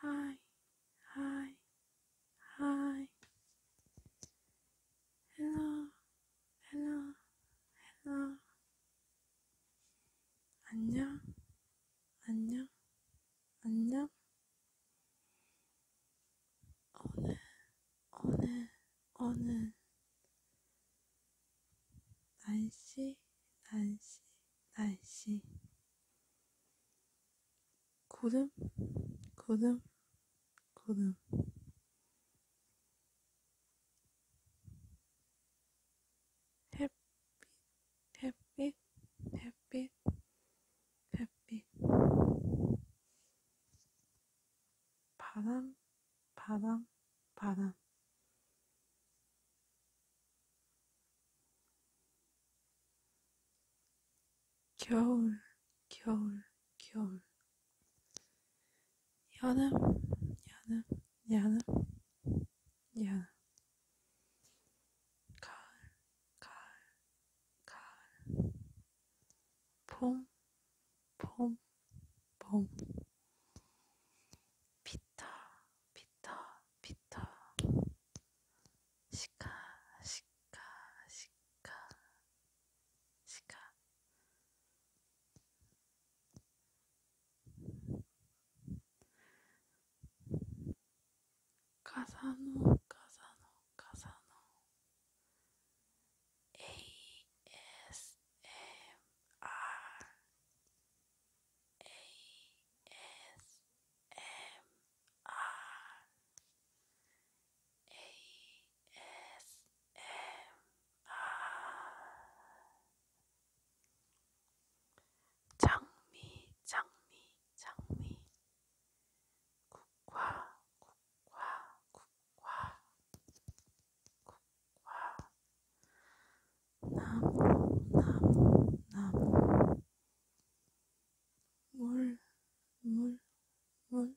하이, 하이, 하이. 헬로, 헬로, 헬로. 안녕, 안녕, 안녕. 오늘, 오늘. 어느 날씨, 날씨, 날씨. 구름, 구름, 구름. 햇빛, 햇빛, 햇빛, 햇빛. 바람, 바람, 바람. 겨울, 겨울, 겨울. 여름, 여름, 여름, 여름. 가을, 가을, 가을. 봄, 봄. 봉 피터 피터 피터 시카 시카 시카 시카 가사노 가사노 가사노 ASMR 장미 장미 장미 국화 국화 국화 나무, 나무, 나무. 물, 물, 물.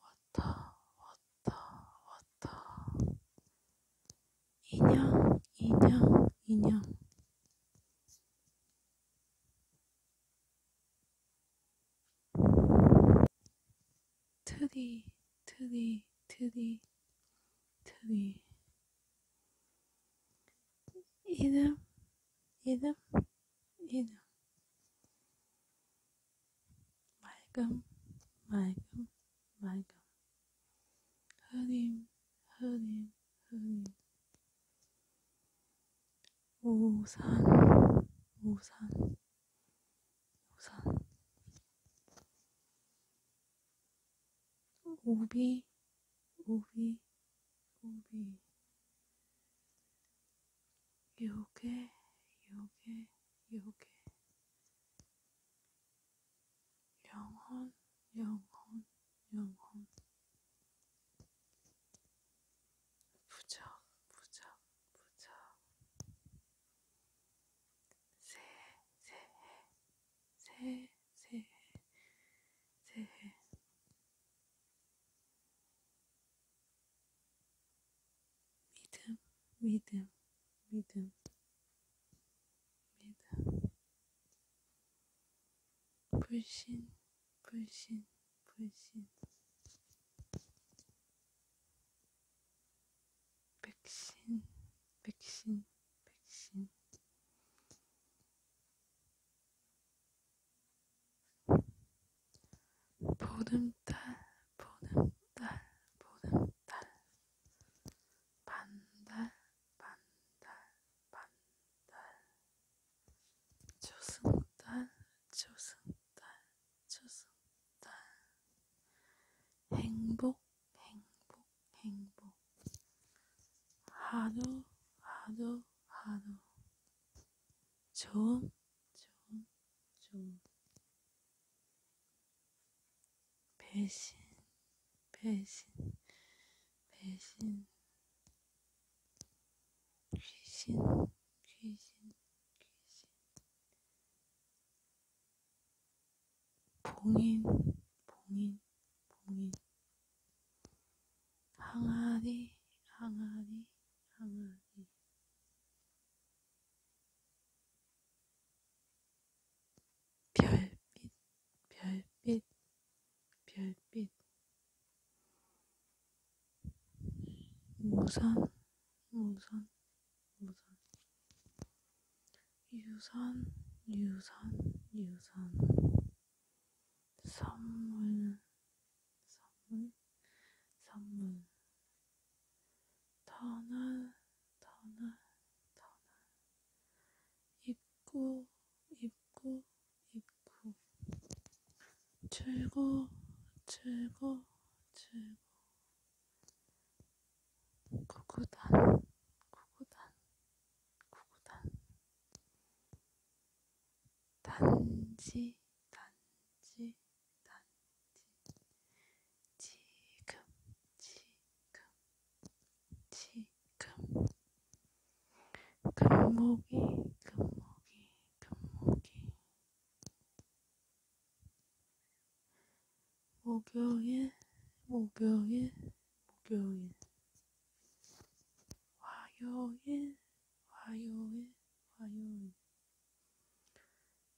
왔다, 왔다, 왔다. 인형, 인형, 인형. 트리, 트리, 트리, 트리. 이름, 이름, 이름. 맑음, 맑음, 맑음. 흐림, 흐림, 흐림. 우산, 우산, 우선 오비 오비 오비 요게 요게 요게 영혼 영혼 영혼 부적 부적 부적 새해, 새해, 새해, 새해, 새해. 믿음, 믿음, 믿음, 믿음. 불신, 불신, 불신. 백신, 백신, 백신. 보름달, 보름달, 보름달. 반달, 반달, 반달. 조승달, 조승. 추석달 네. 행복 행복 행복 하루 하루 하루 좋은 좋은 좋은 배신 배신 배신 귀신 귀신 귀신 봉인, 봉인, 봉인. 항아리, 항아리, 항아리. 별빛, 별빛, 별빛. 무선, 무선. 무선 유선 유선 유선 선물 선물 선물 터널 터널 터널 입구 입구 입구 출구 출구 출구 구구단 구구단 구구단 단지 단지 단지 지금 지금 지금 금목이 금목이 금목이 목요일, 목요일, 목요일. 화요일, 화요일, 화요일.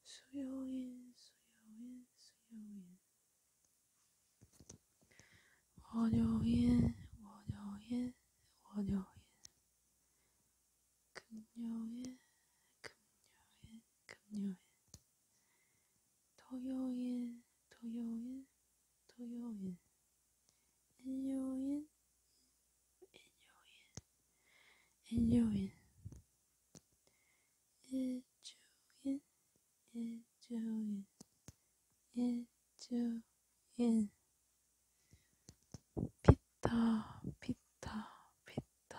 수요일, 수요일, 수요일. 월요일, 월요일, 월요일. 금요일, 금요일, 금요일. 토요일, 토요일, 토요일, 일요일, 일요일, 일요일, 일주일, 일주일, 일주일, 피터, 피터, 피터,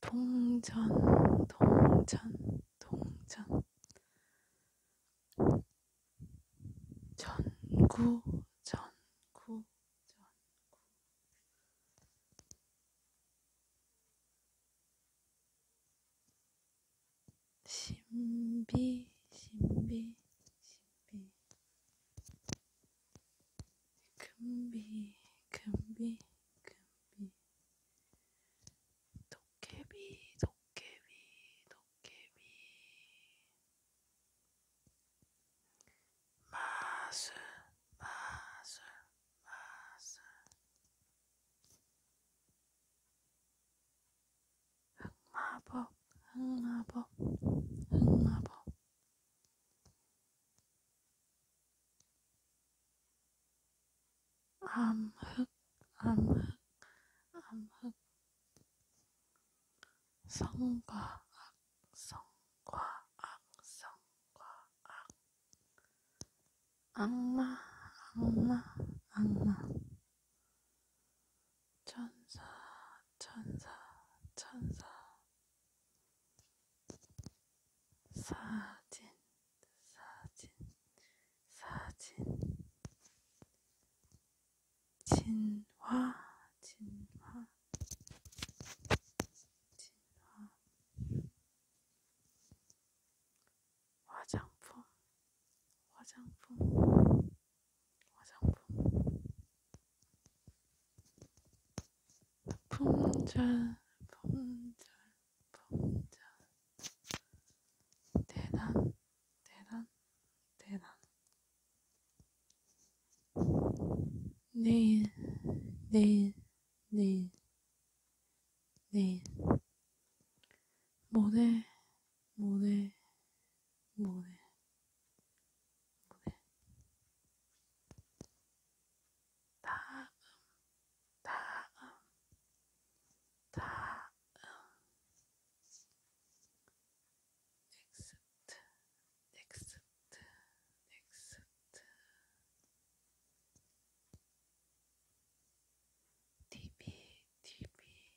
동전, 동전, 동전. 전구, 전구, 전구. 신비, 신비, 신비. be, can be, can be, Don't me, can be. 도깨비, 도깨비, 도깨비. 마술, 마술, 마술. 흑마법, 흑마법, 흑마법. 암흑, 암흑, 암흑. 성과 악, 성과 악, 성과 악. 악마, 악마, 악마. 天使，天使，天使。사 진， 사 진， 사 진。 진 화， 진 화， 진 화。 화장 품， 화장 품。 화장품 품절 품절 품절 대단 대단 대단 내일 내일 내일 내일 모레 모레 모레 네. 다음, 다음, 다음, 넥스트, 음, 넥스트, 넥스트, TV, TV,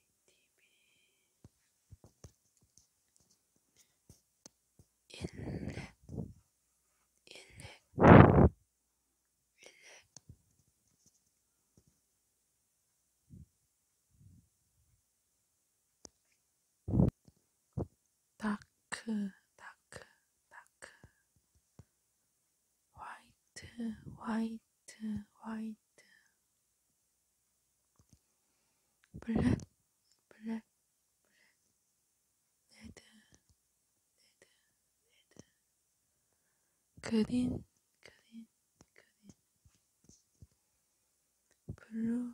인렉 인렉 인렉 다크 다크 다크 화이트 화이트 화이트 black, black, black, red, red, red, green, green, green, blue, blue, blue,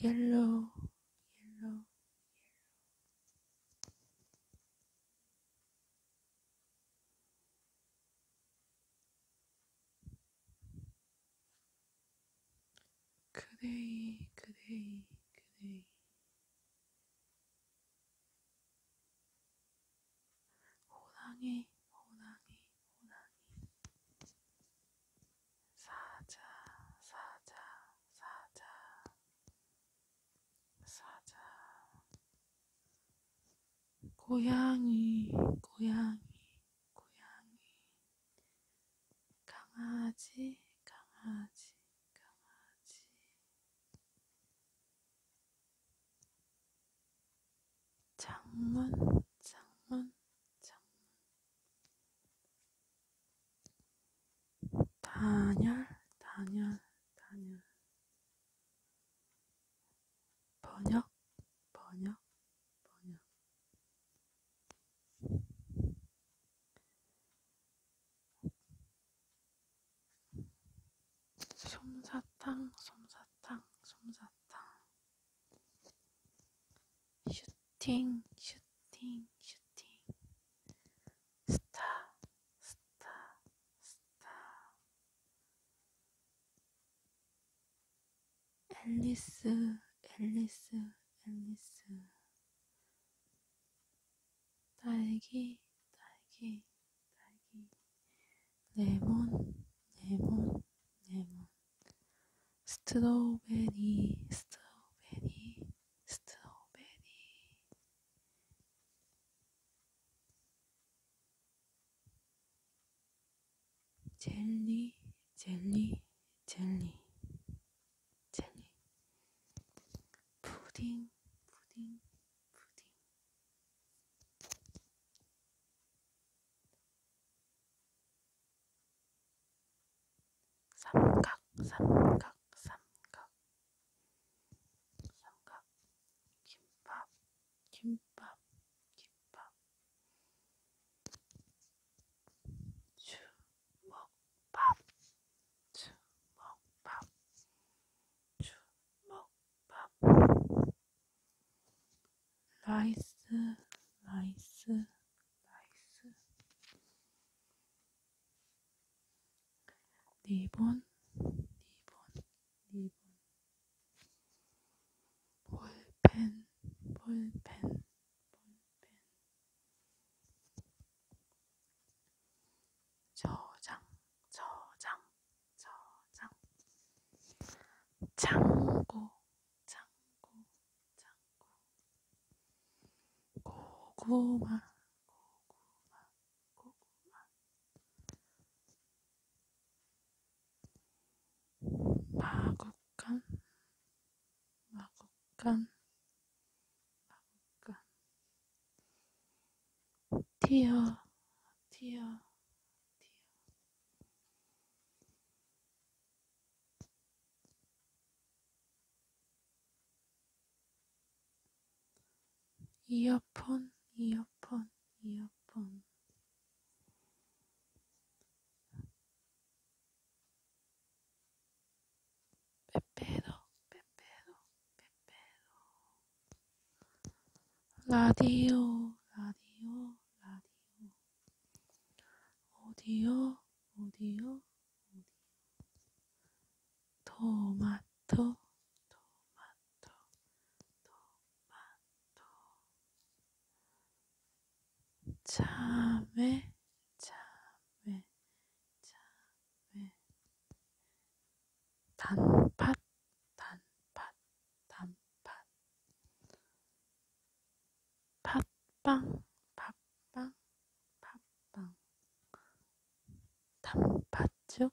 yellow, yellow, yellow, 그대의 그대의 그대의 호랑이 호랑이 호랑이 사자 사자 사자 사자 고양이 고양이 고양이 강아지 강아지 강아지 장문 장문 장문 단열 단열 단열 번역, 번역, 번역. 솜사탕, 솜사탕, 솜사탕. 슈팅, 슈팅, 슈팅. 스타, 스타, 스타. 앨리스, 앨리스, 앨리스. 딸기, 딸기, 딸기. 레몬, 레몬, 레몬. 스트로베리, 스트로베리, 스트로베리. 젤리, 젤리, 젤리, 젤리. 푸딩, 푸딩, 푸딩. 삼각, 삼각, 삼각. 삼각, 김밥, 김밥, 김밥. 주먹밥, 주먹밥, 주먹밥. 라이스, 라이스, 라이스. 리본, 리본, 리본. 볼펜, 볼펜, 볼펜. 저장, 저장, 저장. 창고, 창고, 창고. 고구마, 고구마, 고구마 마국간 마국간 마국간 티어 티어 이어폰, 이어폰, 이어폰. 빼빼로, 빼빼로, 빼빼로. 라디오, 라디오, 라디오. 오디오, 오디오, 오디오. 토마토, 토마토. 토마토 참외 참외 참외 단팥 단팥 단팥 팥빵 팥빵 팥빵 단팥죽